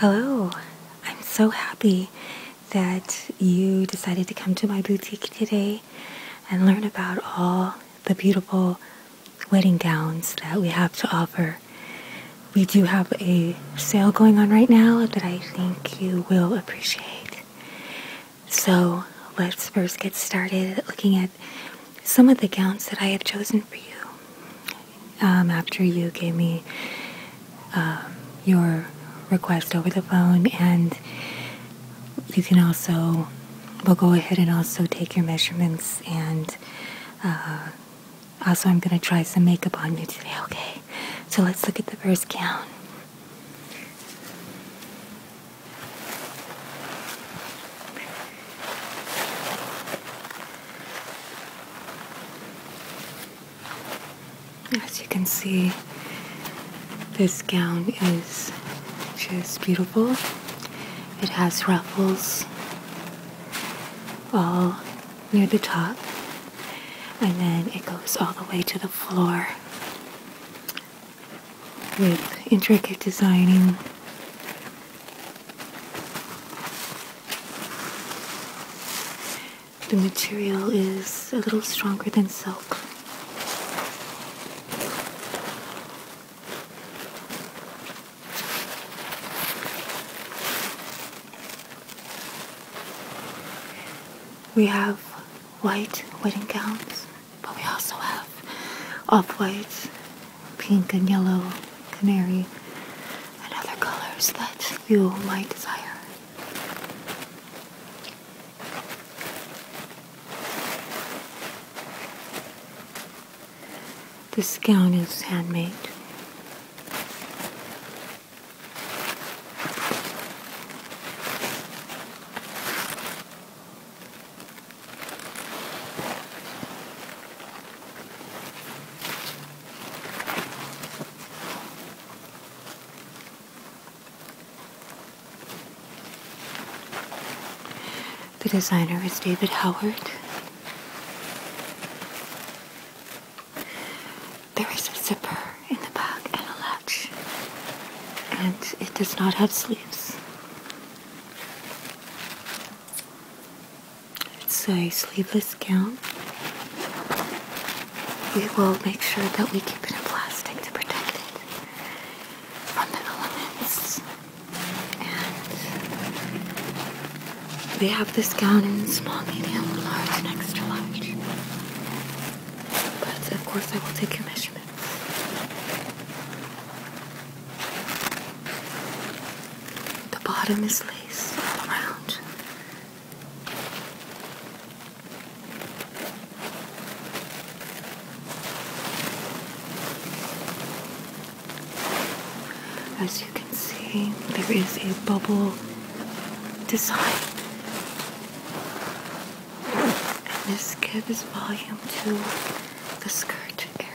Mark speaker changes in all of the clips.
Speaker 1: Hello, I'm so happy that you decided to come to my boutique today and learn about all the beautiful wedding gowns that we have to offer. We do have a sale going on right now that I think you will appreciate. So let's first get started looking at some of the gowns that I have chosen for you um, after you gave me um, your request over the phone, and you can also we'll go ahead and also take your measurements and uh, also I'm gonna try some makeup on you today. Okay, so let's look at the first gown. As you can see, this gown is just beautiful. It has ruffles all near the top, and then it goes all the way to the floor with intricate designing the material is a little stronger than silk. We have white wedding gowns, but we also have off white pink and yellow canary and other colors that you might desire. This gown is handmade. The designer is David Howard. There is a zipper in the back and a latch, and it does not have sleeves. It's a sleeveless gown. We will make sure that we keep it in plastic to protect it from the elements. And we have this gown in small, medium, large, and extra large. But of course, I will take your measurements. The bottom is lace all around. As you can see, there is a bubble design. And this give is volume 2 the skirt area.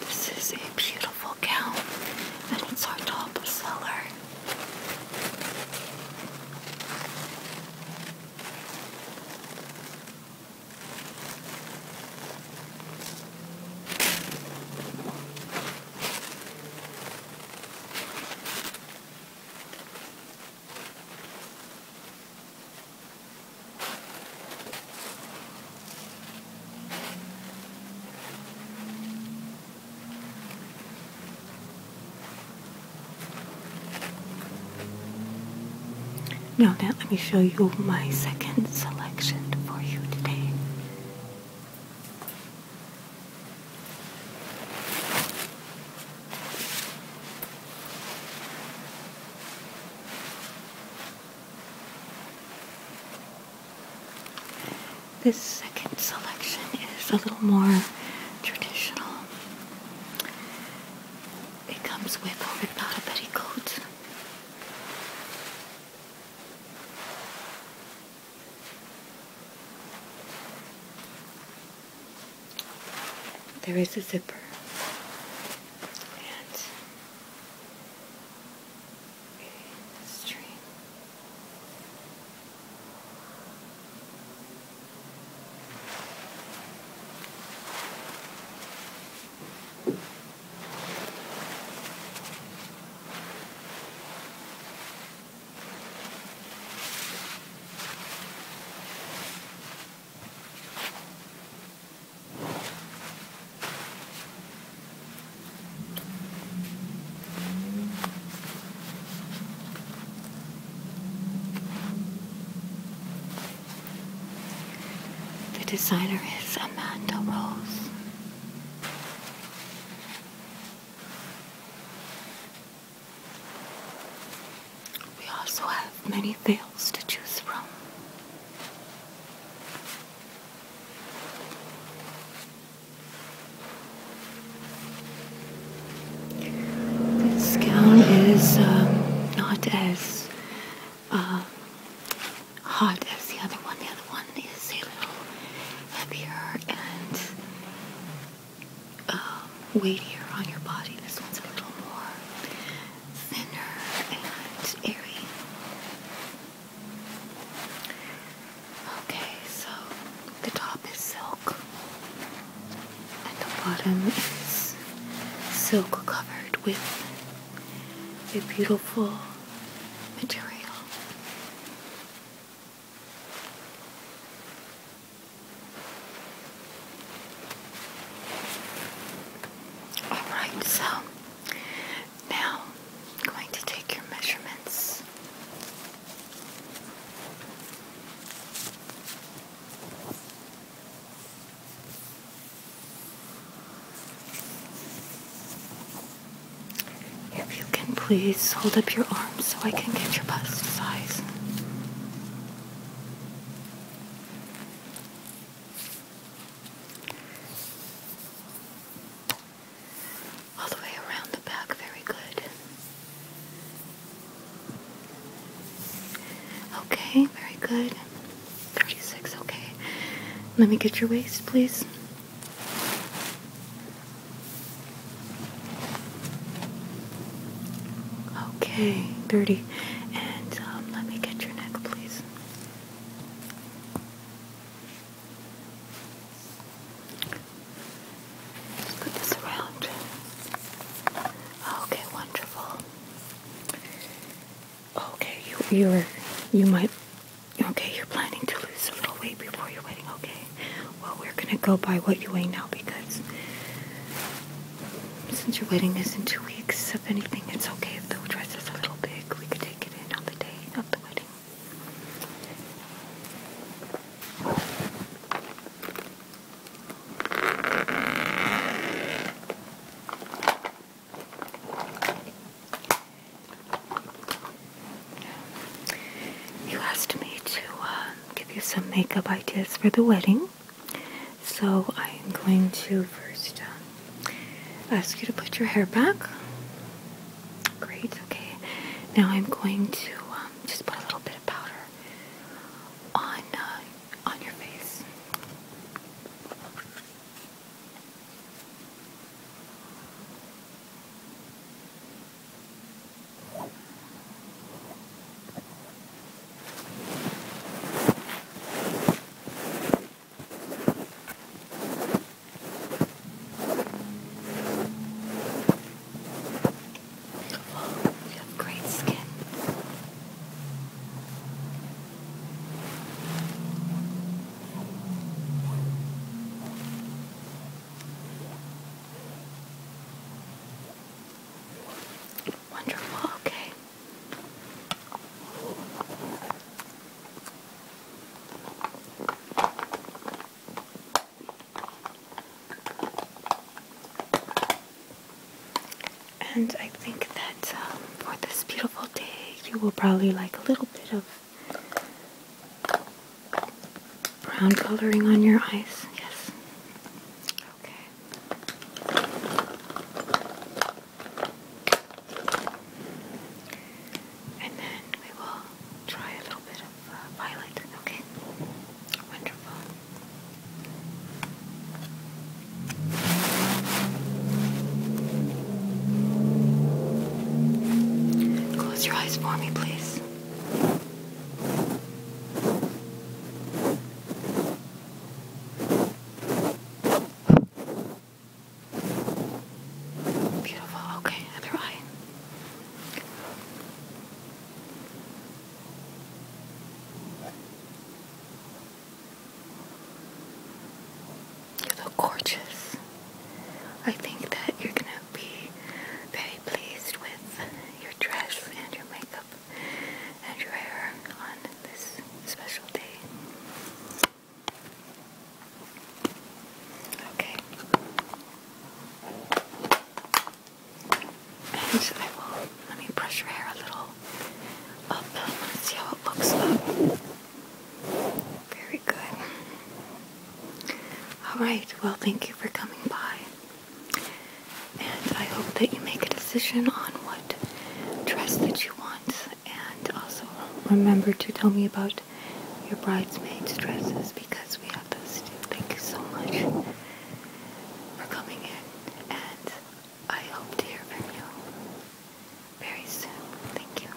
Speaker 1: This is a beautiful gown, and it's our top seller. Now that let me show you my second selection for you today. This second selection is a little more traditional. It comes with a ribbed petticoat. There is a zipper and a stream. The designer is Amanda Rose. We also have many veils to choose from. This gown is um, not as uh, hot as the other one. The other one is a little heavier and um, weightier on your body. This one's a little more thinner and airy. Okay, so the top is silk and the bottom is silk covered with a beautiful material. Alright, so now I'm going to take your measurements. If you can please hold up your arms so I can get your bust size. All the way around the back, very good. Okay, very good. 36, okay. Let me get your waist, please. Okay, thirty, And um, let me get your neck, please. put this around. Okay, wonderful. Okay, you you're you might okay, you're planning to lose a little weight before your wedding, okay. Well we're gonna go by what you weigh now because since your wedding is in two weeks, if anything, it's okay if the dress is a little big. We could take it in on the day of the wedding. You asked me to uh, give you some makeup ideas for the wedding. So I'm going to first um, ask you to put your hair back. Great, okay. Now I'm going to um, just put a little bit of powder on uh, on your face. Oh, you have great skin. Wonderful, okay. And I think that um, for this beautiful day, you will probably like a little bit of brown coloring on your eyes. Yes. Okay. And then we will try a little bit of uh, violet, okay? Wonderful. Close your eyes for me, please. Beautiful. Okay, other You look gorgeous. I think that you're gonna be very pleased with your dress and your makeup and your hair on this special day. Okay. And I will, let me brush your hair a little up. I want to see how it looks Very good. Alright, well, thank you for coming by. And I hope that you make a decision on what dress that you want. And also remember to tell me about your bridesmaids' dresses because we have those too. Thank you so much for coming in. And I hope to hear from you very soon. Thank you.